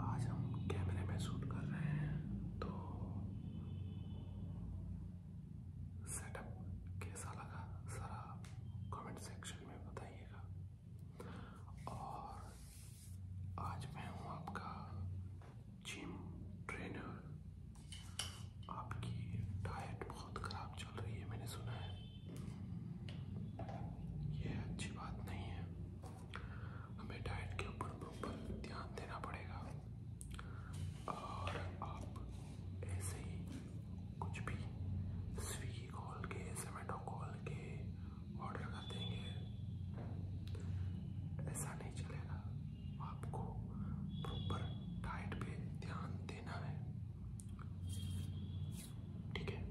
आज हम कैमरे में शूट कर रहे हैं तो सेटअप कैसा लगा सारा कमेंट सेक्शन में बताइएगा और आज मैं हूँ आपका जिम ट्रेनर आपकी डाइट बहुत ख़राब चल रही है मैंने सुना है यह अच्छी बात नहीं है हमें डाइट के ऊपर प्रॉपर ध्यान देना पड़ेगा और आप ऐसे ही कुछ भी स्विगी खोल के जोमेटो खोल के ऑर्डर कर देंगे ऐसा नहीं चलेगा आपको प्रॉपर डाइट पे ध्यान देना है ठीक है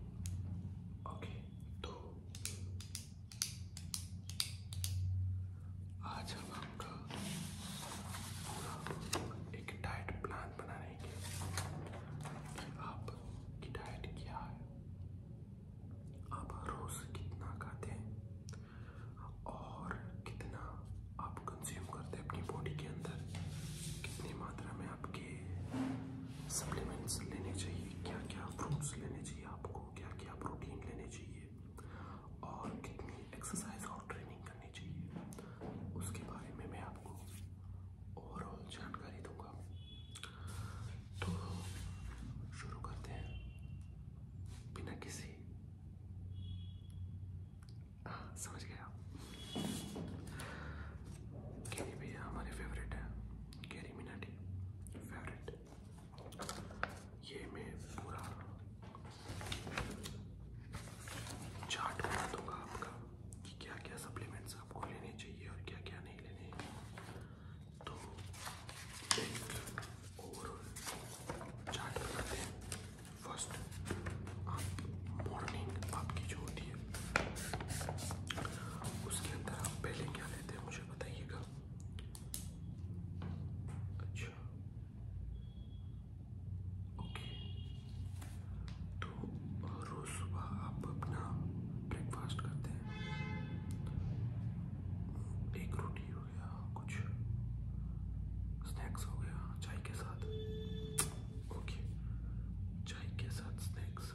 ओके तो आज हम आपका पूरा एक डाइट प्लान बनाने के कि आपकी डाइट क्या है आप रोज कितना खाते हैं और कितना आप कंज्यूम करते हैं अपनी बॉडी के अंदर कितनी मात्रा में आपके सप्लीमेंट्स लेने चाहिए क्या क्या फ्रूट्स लेने चाहिए आपको क्या क्या प्रोटीन लेने चाहिए और कितनी एक्सरसाइज और ट्रेनिंग करनी चाहिए उसके बारे में मैं आपको ओवरऑल जानकारी दूंगा तो शुरू करते हैं बिना किसी समझ गया कैरी भैया हमारे फेवरेट है कैरी मिनाटी फेवरेट ये मैं पूरा चार्ट बना दूंगा आपका कि क्या क्या सप्लीमेंट्स आपको लेने चाहिए और क्या क्या नहीं लेने तो ओवरऑल चार्ट बनाते हैं फर्स्ट आप मॉर्निंग आपकी जो होती है उसके अंदर आप पहले क्या लेते हैं मुझे बताइएगा अच्छा ओके तो रोज़ सुबह आप अपना ब्रेकफास्ट करते हैं एक रोटी हो गया कुछ स्नैक्स हो गया चाय के साथ ओके चाय के साथ स्नैक्स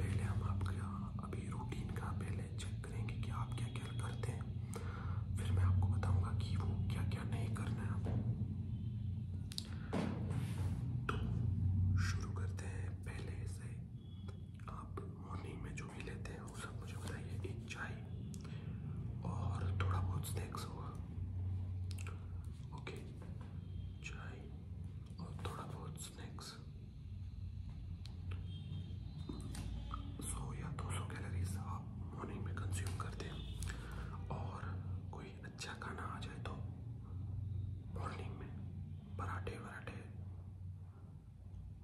पहले हम आपका अभी रूटीन का पहले चेक करेंगे कि आप क्या क्या करते हैं फिर मैं आपको बताऊंगा कि वो क्या क्या नहीं करना है तो शुरू करते हैं पहले से आप मॉर्निंग में जो भी लेते हैं वो सब मुझे बताइए एक चाय और थोड़ा बहुत स्नैक्स होगा ओके चाय और थोड़ा बहुत स्नैक्स सौ या दो सौ कैलरीज आप मॉर्निंग में कंज्यूम करते हैं और कोई अच्छा खाना आ जाए तो मॉर्निंग में पराठे वराठे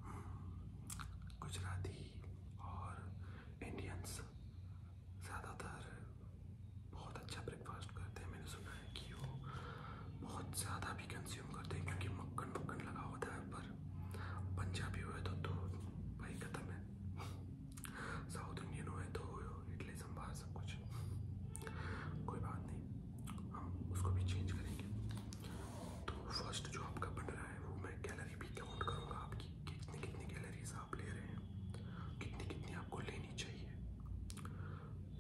हम्म, गुजराती और इंडियंस ज़्यादातर बहुत अच्छा ब्रेकफास्ट करते हैं मैंने सुना है कि वो बहुत ज़्यादा भी कंज्यूम करते हैं क्योंकि मक्खन मक्खन लगा होता है पर पंजाबी हो तो दूध तो भाई ख़त्म है साउथ इंडियन हो तो इडली संभार सब कुछ कोई बात नहीं हम उसको भी चेंज करेंगे तो फर्स्ट जो आपका बन रहा है वो मैं कैलरी भी काउंट करूँगा आपकी कितनी कितनी गैलरीज आप ले रहे हैं कितनी कितनी आपको लेनी चाहिए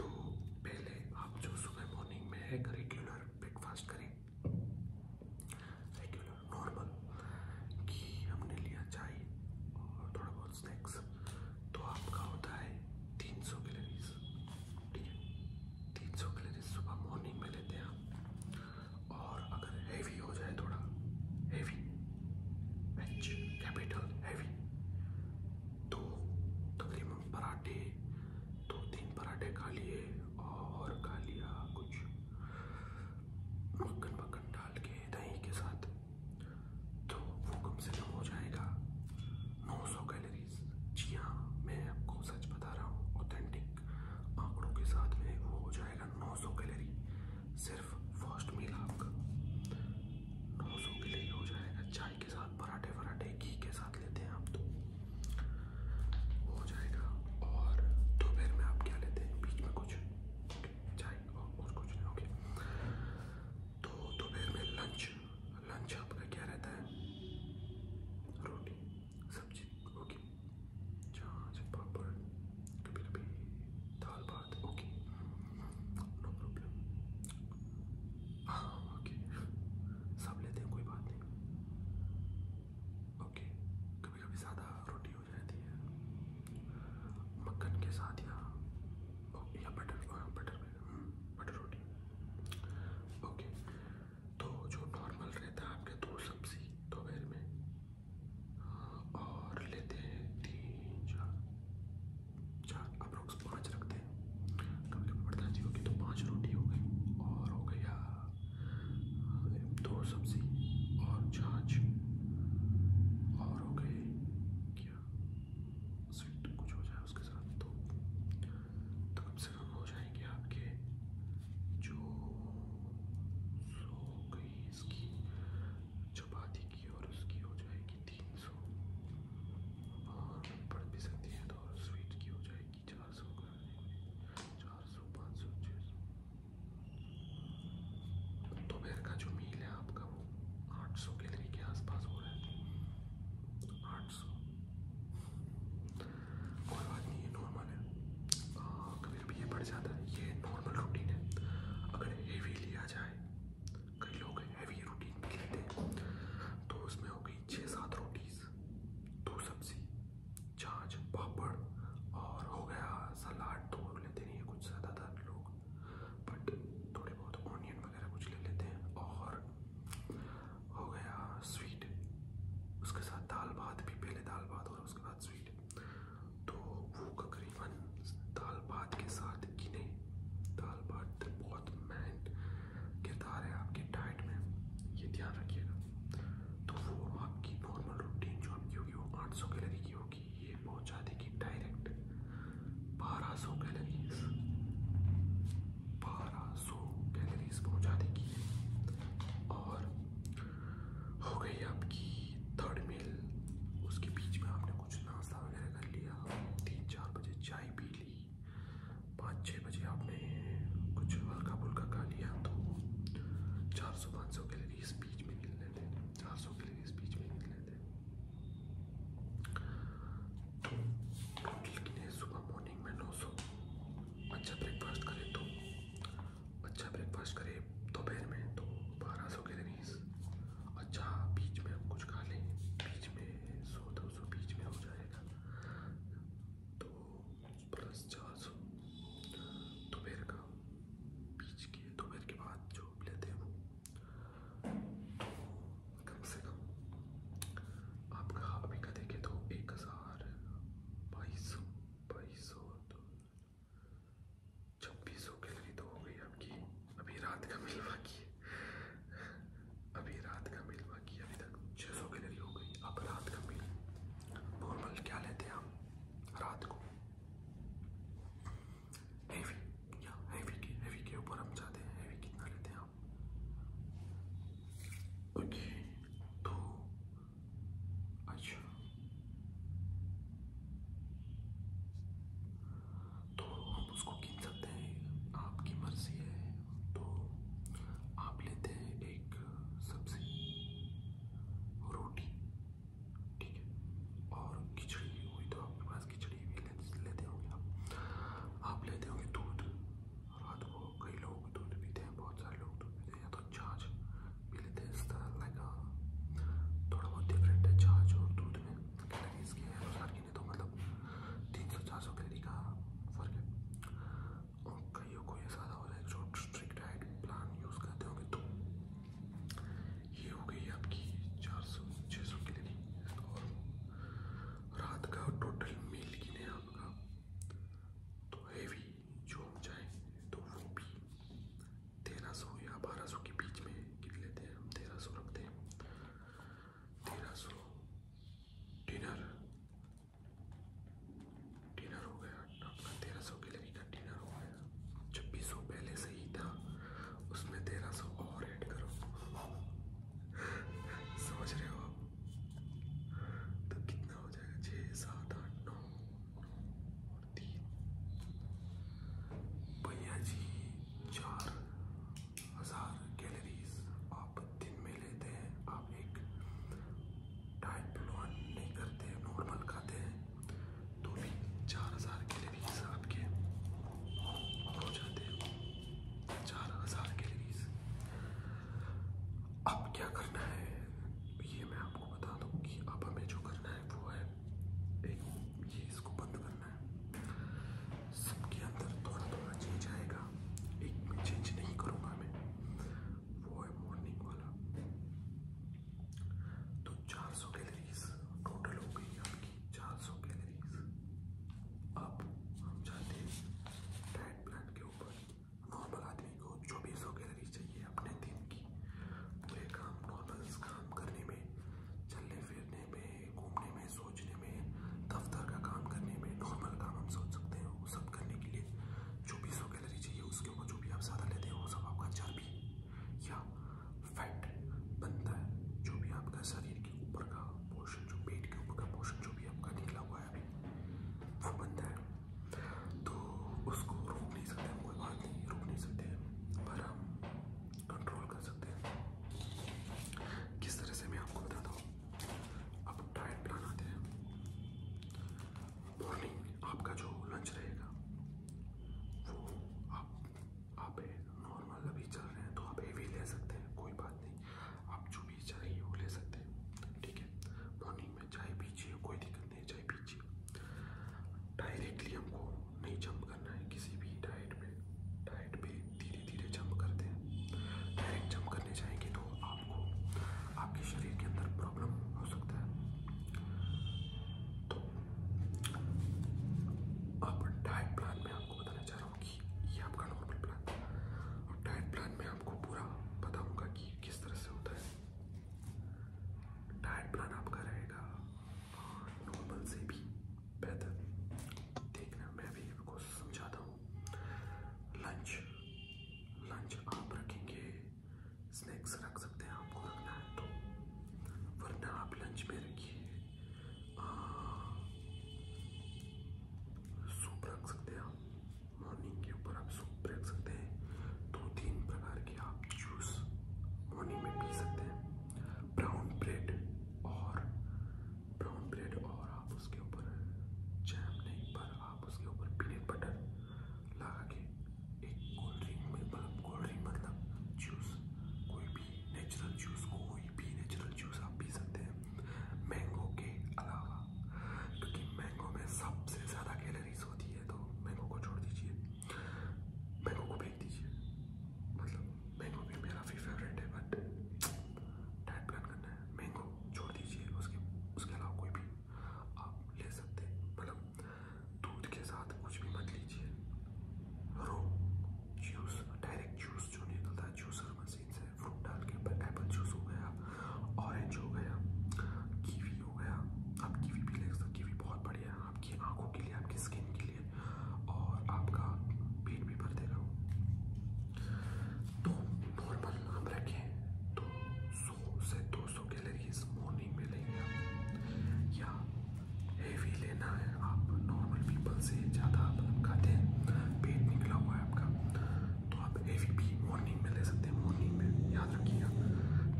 तो पहले आप जो सुबह मॉर्निंग में एक रेगुलर ब्रेकफास्ट करें रेगुलर नॉर्मल कि हमने लिया चाय और थोड़ा बहुत स्नैक्स तो आपका होता है तीन सौ कैलरीज ठीक है तीन सौ कैलरीज सुबह मॉर्निंग में लेते हैं आप और अगर हैवी हो जाए थोड़ा हैवी एच कैपिटल हैवी तो तकरीबन पराठे दो तीन पराठे खा लिए और खा लिया कुछ मक्खन मक्खन डाल के दही के साथ तो वो कम से कम हो जाएगा 900 कैलोरीज जी हाँ मैं आपको सच बता रहा हूँ ऑथेंटिक आंकड़ों के साथ में वो हो जाएगा 900 कैलोरी सिर्फ फर्स्ट मील आपका नौ सौ के लिए हो जाएगा चाय के साथ पराठे वराठे घी के साथ लेते हैं आप तो हो जाएगा और दोपहर में आप क्या लेते हैं बीच में कुछ चाय और कुछ नहीं ओके तो दोपहर में लंच लंच आपका क्या रहता है रोटी सब्जी ओके चाच पापड़ कभी कभी दाल भात ओके नो प्रॉब्लम हाँ ओके सब लेते हैं कोई बात नहीं ओके कभी कभी ज़्यादा रोटी हो जाती है मक्खन के साथ या या बटर बटर बटर रोटी ओके तो जो नॉर्मल रहता है आपके दो सब्जी दोपहर में और लेते हैं तीन चार चार अप्रोक्स पाँच रखते हैं कभी कभी पड़ता जी होगी तो पाँच रोटी हो गई और हो गया दो सब्ज़ी और छाछ और हो गई क्या स्वीट कुछ हो जाए उसके साथ तो तो कम से कम हो जाएंगे आपके जो सौ गई हुई इसकी चपाती की और उसकी हो जाएगी तीन सौ और पढ़ भी सकते हैं तो और स्वीट की हो जाएगी चार सौ चार सौ पाँच सौ छः सौ दोपहर तो का जो मील है आपका वो आठ सौ कैलरी के आसपास हो रहा है आठ सौ कोई बात नहीं ये नॉर्मल है फिर भी ये बढ़ जाता है ये नॉर्मल रूटीन है अगर हेवी लिया जाए कई लोग हैवी रूटीन भी लेते हैं तो उसमें हो गई छः सात रोटीज दो सब्जी छाछ पापड़ और हो गया सलाद तो लेते नहीं है कुछ ज़्यादातर लोग बट थोड़े बहुत ऑनियन वगैरह कुछ ले लेते हैं और हो गया स्वीट उसके साथ दाल भात भी पहले दाल भात और उसके उसके बाद स्वीट तो वो तकरीबन दाल भात के साथ गिने दाल भात बहुत मैन किरदार है आपके डाइट में ये ध्यान रखिएगा तो वो आपकी नॉर्मल रूटीन जो आपकी होगी वो आठ सौ कैलरी की होगी ये पहुंचा देगी डायरेक्ट बारह सौ कैलरीज बारह सौ कैलरीज पहुंचा देगी और हो गई आपकी थर्ड मील उसके बीच में आपने कुछ नाश्ता वगैरह कर लिया तीन चार बजे चाय पी ली पाँच छः बजे आपने कुछ हल्का फुल्का खा लिया तो चार सौ पाँच सौ कैलरीज बीच में निकलने थे चार सौ कैलरीज बीच में निकलने थे तो टोटल कितने सुबह मॉर्निंग में नौ सौ अच्छा ब्रेकफास्ट करें तो अच्छा ब्रेकफास्ट करें दोपहर में तो बारह सौ कैलरीज अच्छा बीच में हम कुछ खा लें बीच में सौ दो सौ बीच में हो जाएगा तो प्लस चार सौ दोपहर का बीच के दोपहर के बाद जो लेते हैं वो कम से कम आपका अभी का देखें तो एक हज़ार बाईस सौ बाईस सौ तो छब्बीस सौ कैलोरी तो हो गई आपकी अभी रात का मिल बाकी अभी रात का मिल बाकी अभी तक छः सौ कैलोरी हो गई अब रात का मिल नॉर्मल क्या लेते हैं हम रात को हैवी या हैवी के हैवी के ऊपर हम जाते हैं हैवी कितना लेते हैं हम ओके तो अच्छा तो हम उसको गिन सकते हैं आपकी मर्जी है तो आप लेते हैं एक सब्जी रोटी ठीक है और खिचड़ी हुई तो आपके पास खिचड़ी भी लेते होंगे आप आप लेते होंगे दूध रात को कई लोग दूध पीते हैं बहुत सारे लोग दूध पीते हैं या तो छाछ पी लेते हैं इस तरह लाइक uh, थोड़ा बहुत डिफरेंट है छाछ और दूध में लेकिन इसके अनुसार गिने तो मतलब तीन सौ चार सौ कैलरी का फर्क है और कईयों को ये ज़्यादा हो रहा है जो स्ट्रिक्ट डाइट प्लान यूज़ करते होंगे तो ये हो गई आपकी चार सौ छः सौ कैलरी और रात का टोटल मील गिने आपका तो हैवी झोंक जाए तो वो भी तेरह सौ या बारह सौ के बीच में गिन लेते हैं हम तेरह सौ रखते हैं तेरह सौ डिनर डिनर हो गया अपना तेरह सौ गैलरी का डिनर हो गया छब्बीस सौ पहले से ही था उसमें तेरह सौ और ऐड करो समझ रहे हो आप तो कितना हो जाएगा छः सात आठ नौ तीन भैया जी चार हजार कैलोरीज आप दिन में लेते हैं आप एक डाइट प्लान नहीं करते नॉर्मल खाते हैं तो भी चार हजार कैलोरीज आपके हो जाते हैं चार हजार कैलोरीज अब क्या करना है ये मैं आपको बता दूं कि अब हमें जो करना है वो है एक ये इसको बंद करना है सबके अंदर थोड़ा थोड़ा चेंज आएगा एक में चेंज नहीं करूँगा मैं वो है मॉर्निंग वाला तो 400 कैलोरीज टोटल हो गई आपकी 400 कैलोरीज अब हम जाते हैं डाइट प्लान के ऊपर नॉर्मल आदि आदमी को चौबीसों कैलोरी चाहिए अपने दिन की तो ये काम नॉर्मल काम करने में चलने फिरने में घूमने में सोचने में दफ्तर का काम करने में नॉर्मल काम हम सोच सकते हैं वो सब करने के लिए चौबीसों कैलोरी चाहिए उसके ऊपर जो भी आप ज़्यादा लेते हैं वो सब आपका चर्बी या फैट बनता है जो भी आपका शरीर के ऊपर का पोर्शन जो पेट के ऊपर का पोर्शन जो भी आपका निकला हुआ है अभी वो बनता है तो उसको रोक नहीं सकते हम कोई बात नहीं रोक नहीं सकते पर हम कंट्रोल कर सकते हैं किस तरह से मैं आपको बताता हूँ आप डाइट प्लान आते हैं मॉर्निंग आपका जो लंच रहेगा वो आप आप नॉर्मल अभी चल रहे हैं तो आप हेवी ले सकते हैं कोई बात नहीं आप जो भी चाहिए वो ले सकते हैं ठीक है मॉर्निंग में चाय पीजिए कोई दिक्कत नहीं नहीं चाहे पीजिए डायरेक्टली हमको नहीं जंप करना है किसी भी डाइट पे डाइट पे धीरे धीरे जंप करते हैं डायरेक्ट जंप करने जाएंगे तो आपको आपके शरीर के अंदर प्रॉब्लम हो सकता है तो आप डाइट प्लान में आपको बताना चाह रहा हूँ कि ये आपका नॉर्मल प्लान और डाइट प्लान में आपको पूरा बताऊँगा कि किस तरह से होता है डाइट प्लान आपका रहेगा नॉर्मल से भी बेहतर देखना मैं भी आपको समझाता हूँ लंच लंच आप रखेंगे स्नैक्स रख सकते हैं आपको रखना है तो वरना आप लंच में रखिए सूप रख सकते हैं आप मॉर्निंग के ऊपर आप सूप रख सकते हैं दो तीन प्रकार के आप जूस मॉर्निंग में पी सकते हैं ब्राउन ब्रेड और ब्राउन ब्रेड और आप उसके ऊपर जैम नहीं पर आप उसके ऊपर पीनट बटर लगा के एक कोल्ड ड्रिंक में मतलब कोल्ड ड्रिंक मतलब जूस कोई भी नेचुरल जूस कोई भी नेचुरल जूस आप पी सकते हैं मैंगो के अलावा क्योंकि मैंगो में सबसे ज़्यादा कैलरीज होती है तो मैंगो को छोड़ दीजिए मैंगो को फेंक दीजिए मतलब मैंगो भी मेरा भी फेवरेट है बट डाइट प्लान करना है मैंगो छोड़ दीजिए उसके उसके अलावा कोई भी आप ले सकते हैं मतलब दूध के साथ कुछ भी मत लीजिए रो जूस डायरेक्ट जूस जो निकलता है जूसर मशीन से फ्रूट डाल के एप्पल जूस हो गया ऑरेंज हो गया कीवी कीवी हो गया आप कीवी भी ले सकते तो कीवी बहुत बढ़िया है आपकी आंखों के लिए आपकी स्किन के लिए और आपका पेट भी भर देगा तो नॉर्मल हम रखें तो सौ से दो सौ कैलरीज मॉर्निंग में लेंगे आप या हेवी लेना है आप नॉर्मल पीपल से ज़्यादा आप खाते हैं पेट निकला हुआ है आपका तो आप हेवी भी मॉर्निंग मॉर्निंग में ले सकते हैं मॉर्निंग में याद रखिएगा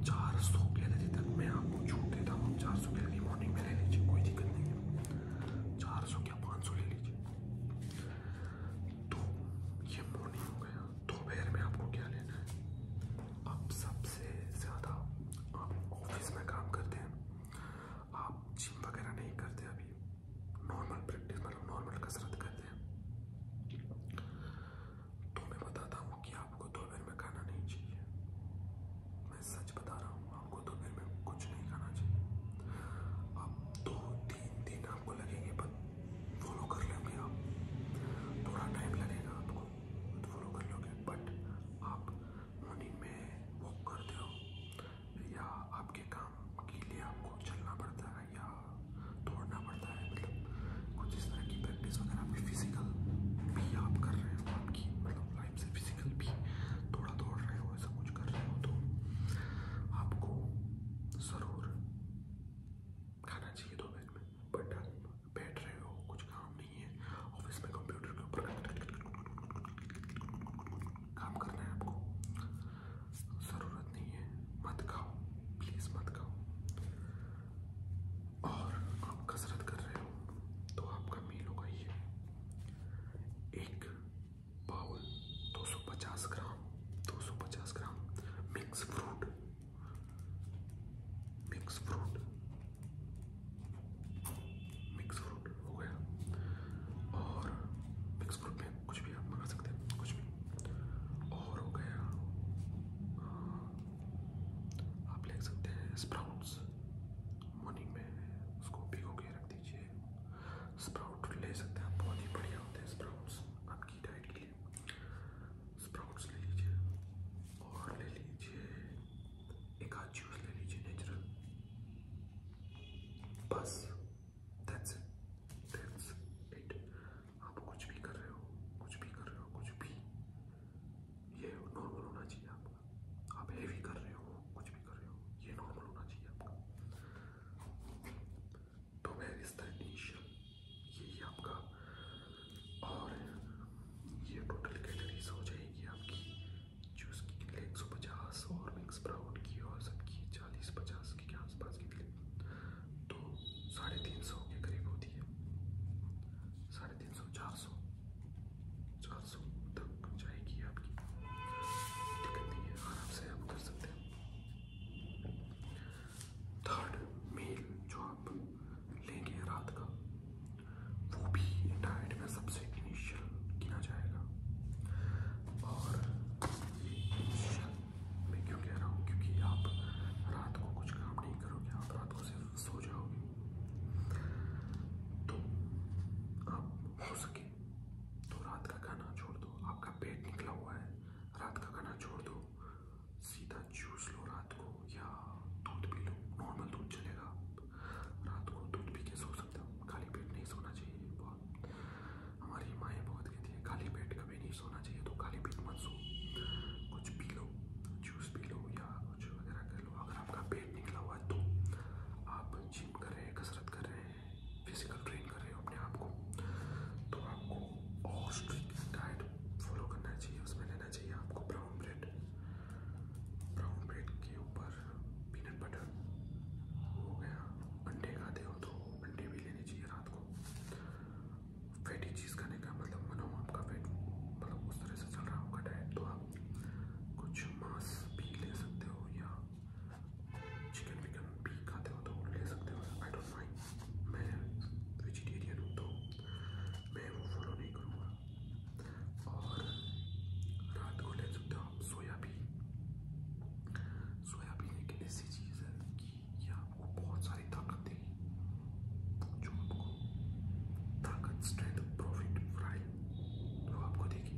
चार सौ कैलरी तक मैं आपको छूट देता हूँ चार सौ कैलरी मॉर्निंग में ले लीजिए कोई दिक्कत नहीं है चार सौ क्या पाँच सौ ले लीजिए तो ये मॉर्निंग हो गया दोपहर में आपको क्या लेना है आप सबसे ज़्यादा आप ऑफिस में काम करते हैं आप जिम वगैरह नहीं करते अभी नॉर्मल प्रैक्टिस मतलब नॉर्मल कसरत करते हैं तो मैं बताता हूँ कि आपको दोपहर में खाना नहीं चाहिए मैं सच बता रहा हूँ आपको दोपहर में कुछ नहीं खाना चाहिए आप दो तीन दिन आपको लगेंगे बट फॉलो कर लेंगे आप थोड़ा टाइम लगेगा आपको फॉलो कर लोगे बट आप मॉर्निंग में वॉक करते हो या आपके काम के लिए आपको चलना पड़ता है या दौड़ना पड़ता है मतलब कुछ इस तरह की प्रैक्टिस वगैरह आपकी फिजिकल भी आप कर रहे हो आपकी मतलब लाइफ से फिजिकल भी थोड़ा दौड़ रहे हो ऐसा कुछ कर रहे हो तो आपको ज़रूर खाना चाहिए दोपहर में बट आप बैठ रहे हो कुछ काम नहीं है ऑफिस में कंप्यूटर के ऊपर काम करना है आपको ज़रूरत नहीं है मत खाओ प्लीज़ मत खाओ और आप कसरत कर रहे हो तो आपका मील होगा ये एक bowl 250 gram 250 gram mix fruit mix fruit mix fruit हो गया और मिक्स फ्रूट में कुछ भी आप मंगा सकते हैं कुछ भी और हो गया आप ले सकते हैं स्प्राउट्स मॉर्निंग में उसको भिगो के रख दीजिए स्प्राउट ले सकते हैं बहुत ही बढ़िया होते हैं स्प्राउट्स आपकी डाइट के लिए स्प्राउट्स ले लीजिए और ले लीजिए एक आध जूस ले लीजिए नेचुरल बस दैट्स इट दैट्स इट आप कुछ भी कर रहे हो कुछ भी कर रहे हो कुछ भी ये नॉर्मल होना चाहिए आपका आप हैवी कर रहे हो कुछ भी कर रहे हो ये नॉर्मल होना चाहिए आपका तो वेर इज द इनिशियल यही आपका और ये टोटल कैलरीज हो जाएगी आपकी जूस की एक सौ पचास और मिक्स ब्राउन की और सबकी चालीस पचास के आसपास की थी तो साढ़े तीन सौ के करीब होती है साढ़े तीन सौ चार सौ चार सौ तक जाएगी आपकी दिक्कत नहीं है आराम से आप कर सकते हैं थर्ड मेल जो आप लेंगे रात का वो भी डाइट में सबसे इनिशियल गिना जाएगा और ये इनिशियल मैं क्यों कह रहा हूँ क्योंकि आप रात को कुछ काम नहीं करोगे आप रात को सिर्फ सो जाओगे तो आप हो सके तो रात का खाना छोड़ दो आपका पेट निकला हुआ है रात का खाना छोड़ दो सीधा जूस लो रात को या दूध पी लो नॉर्मल दूध चलेगा रात को दूध पी के सो सकते हो खाली पेट नहीं सोना चाहिए बहुत हमारी माएँ बहुत कहती है खाली पेट कभी नहीं चाहिए सोना चाहिए तो खाली पेट मत सो कुछ पी लो जूस पी लो या कुछ वगैरह कर लो अगर आपका पेट निकला हुआ है तो आप जिम कर रहे हैं कसरत कर रहे हैं फिजिकल ट्रेन कर रहे हो अपने आप को तो आपको और स्ट्रिक्ट डाइट फॉलो करना चाहिए उसमें लेना चाहिए आपको ब्राउन ब्रेड ब्राउन ब्रेड के ऊपर पीनट बटर हो गया अंडे खाते हो तो अंडे भी लेने चाहिए रात को फैटी चीज़ खाने का मतलब मानो आपका वेट मतलब उस तरह से चल रहा होगा डाइट तो आप कुछ मांस भी ले सकते हो या चिकन विकन भी खाते हो तो ले सकते हो आई डोंट माइंड मैं वेजिटेरियन हूँ तो मैं वो फॉलो नहीं करूँगा और रात को ले सकते हो आप सोयाबीन सोयाबीन एक ऐसी चीज़ है कि ये आपको बहुत सारी ताकत देगी जो आपको ताकत स्ट्रेंथ प्रॉफिट फ्राई जो आपको देगी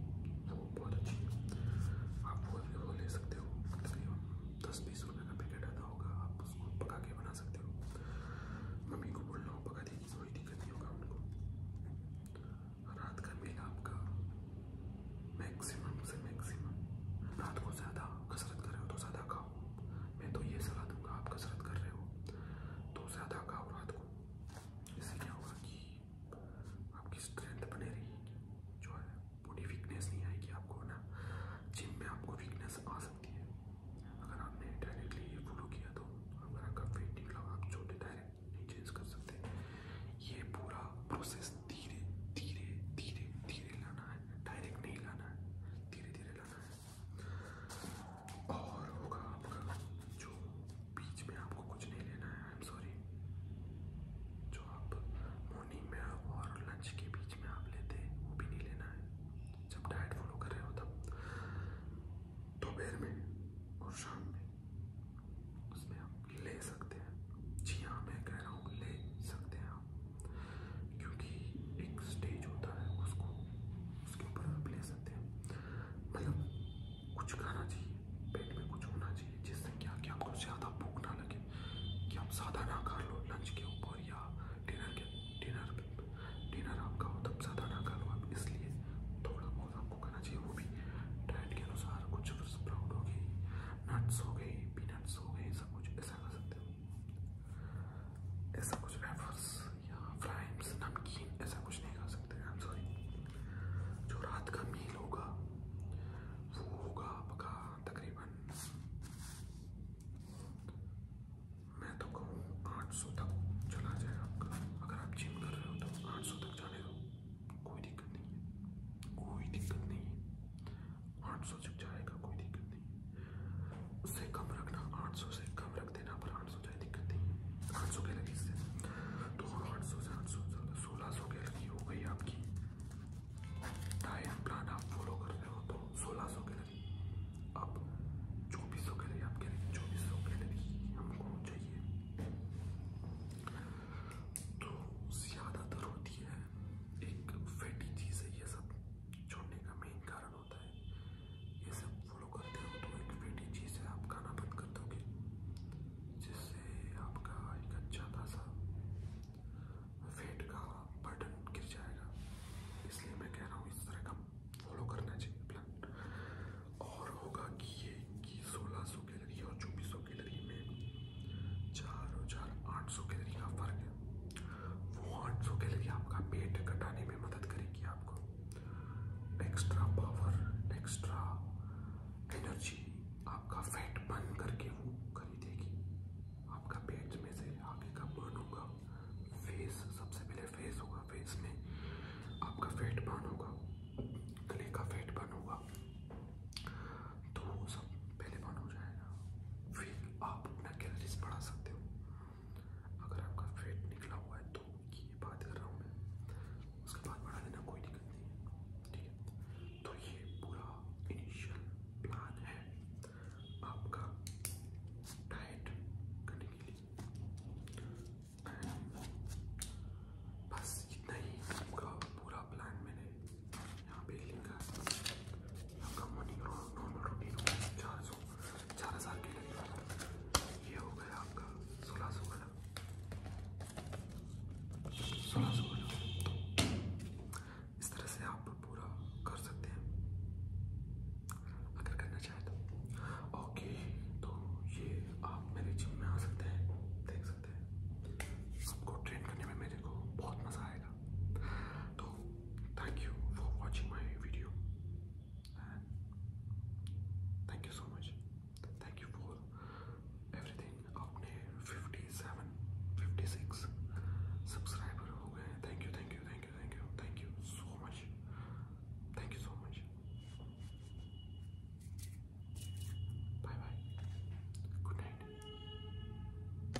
वो बहुत अच्छी है आप वो भी वो ले सकते हो तकरीबन दस बीस रुपये का पैकेट आता होगा आप उसको पका के बना सकते हो मम्मी को बोल रहा हूँ पका देगी कोई दिक्कत नहीं होगा उनको रात का मेल आपका मैक्सिमम से मैक्सिमम रात को ज़्यादा कसरत करें तो ज़्यादा तो आप कसरत कर रहे हो तो आ सकती है अगर आपने डायरेक्टली ये फॉलो किया तो अगर आपका वेट आप जो डायरेक्ट नहीं चेंज कर सकते ये पूरा प्रोसेस धीरे धीरे धीरे धीरे लाना है डायरेक्ट नहीं लाना है धीरे धीरे लेना है और होगा आपका जो बीच में आपको कुछ नहीं लेना है आई एम सॉरी जो आप मॉर्निंग में और लंच के बीच में आप लेते हैं वो भी नहीं लेना है जब डाइट फॉलो कर रहे हो तब दोपहर में और शाम में उसमें आप ले सकते हैं जी हाँ मैं कह रहा हूँ ले सकते हैं आप क्योंकि एक स्टेज होता है उसको उसके ऊपर आप ले सकते हैं मतलब कुछ खाना चाहिए पेट में कुछ होना चाहिए जिससे क्या कि आपको ज़्यादा भूख ना लगे कि आप ज़्यादा ना खा लो लंच के ऊपर या डिनर के डिनर डिनर आप खाओ तब ज़्यादा ना खा लो आप इसलिए थोड़ा बहुत आपको खाना चाहिए वो भी डाइट के अनुसार कुछ स्प्राउट हो गई नट्स हो गए पीनट्स हो गए सब कुछ ऐसा कर सकते हो ऐसा कुछ वेफर्स या फ्राइम्स नमकीन ऐसा कुछ नहीं खा सकते आई एम सॉरी जो रात का मील होगा वो होगा आपका तकरीबन मैं तो कहूँ आठ सौ तक चला जाए आपका अगर आप जिम कर रहे हो तो आठ सौ तक जाने दो कोई दिक्कत नहीं है कोई दिक्कत नहीं है आठ सौ तक जाएगा कोई दिक्कत नहीं उससे कम रखना आठ सौ से कम रख देना पर आठ सौ जाए दिक्कत नहीं है आठ सौ के लगी इससे तो आठ सौ से आठ सौ सोलह सौ के लगी हो गई आपकी डाइट प्लान आप फॉलो कर रहे हो तो सोलह सौ के लगी अब चौबीस सौ के लिए आपके लिए चौबीस सौ के लगी हमको चाहिए तो ज़्यादातर होती है एक फैटी चीज़ है ये सब छोड़ने का मेन कारण होता है ये सब फॉलो करते हो तो एक बेटी चीज़ है आप खाना बंद कर दोगे जिससे आपका एक अच्छा खासा वेट का बटन गिर जाएगा इसलिए मैं कह रहा हूँ इस तरह का फॉलो करना चाहिए प्लान और होगा कि ये कि सोलह सौ कैलरी और चौबीस सौ कैलरी में चार और चार आठ सौ कैलरी का फ़र्क है वो आठ के लिए आपका पेट घटाने में मदद करेगी आपको एक्स्ट्रा पावर एक्स्ट्रा एनर्जी आपका फैट बर्न करके वो खरीदेगी आपका पेट में से आगे का बर्न होगा फेस सबसे पहले फेस होगा फेस में आपका फैट बर्न होगा गले का फैट बर्न होगा तो सब पहले वन हो जाएगा फिर आप अपना कैलरीज बढ़ा सकते हो अगर आपका फैट निकला हुआ है तो ये बात कर रहा हूँ मैं उसके बाद बढ़ा देना कोई दिक्कत नहीं है ठीक है तो ये पूरा इनिशियल प्लान है आपका डाइट करने के लिए बस इतना ही आपका पूरा प्लान मैंने यहाँ पे लिखा है आपका मॉर्निंग नॉर्मल रूटीन होगा चार सौ चार हज़ार के लिए ये हो गया आपका सोलह सौ वाला सोलह सौ वाला इस तरह से आप पूरा कर सकते हैं अगर करना चाहे तो ओके तो ये आप मेरे जिम में आ सकते हैं देख सकते हैं आपको ट्रेन करने में मेरे को बहुत मज़ा आएगा so oh, thank you for watching my video thank you so much thank you for everything आपने 57 56 सब्सक्राइबर हो गए thank you thank you thank you thank you thank you so much thank you so much bye bye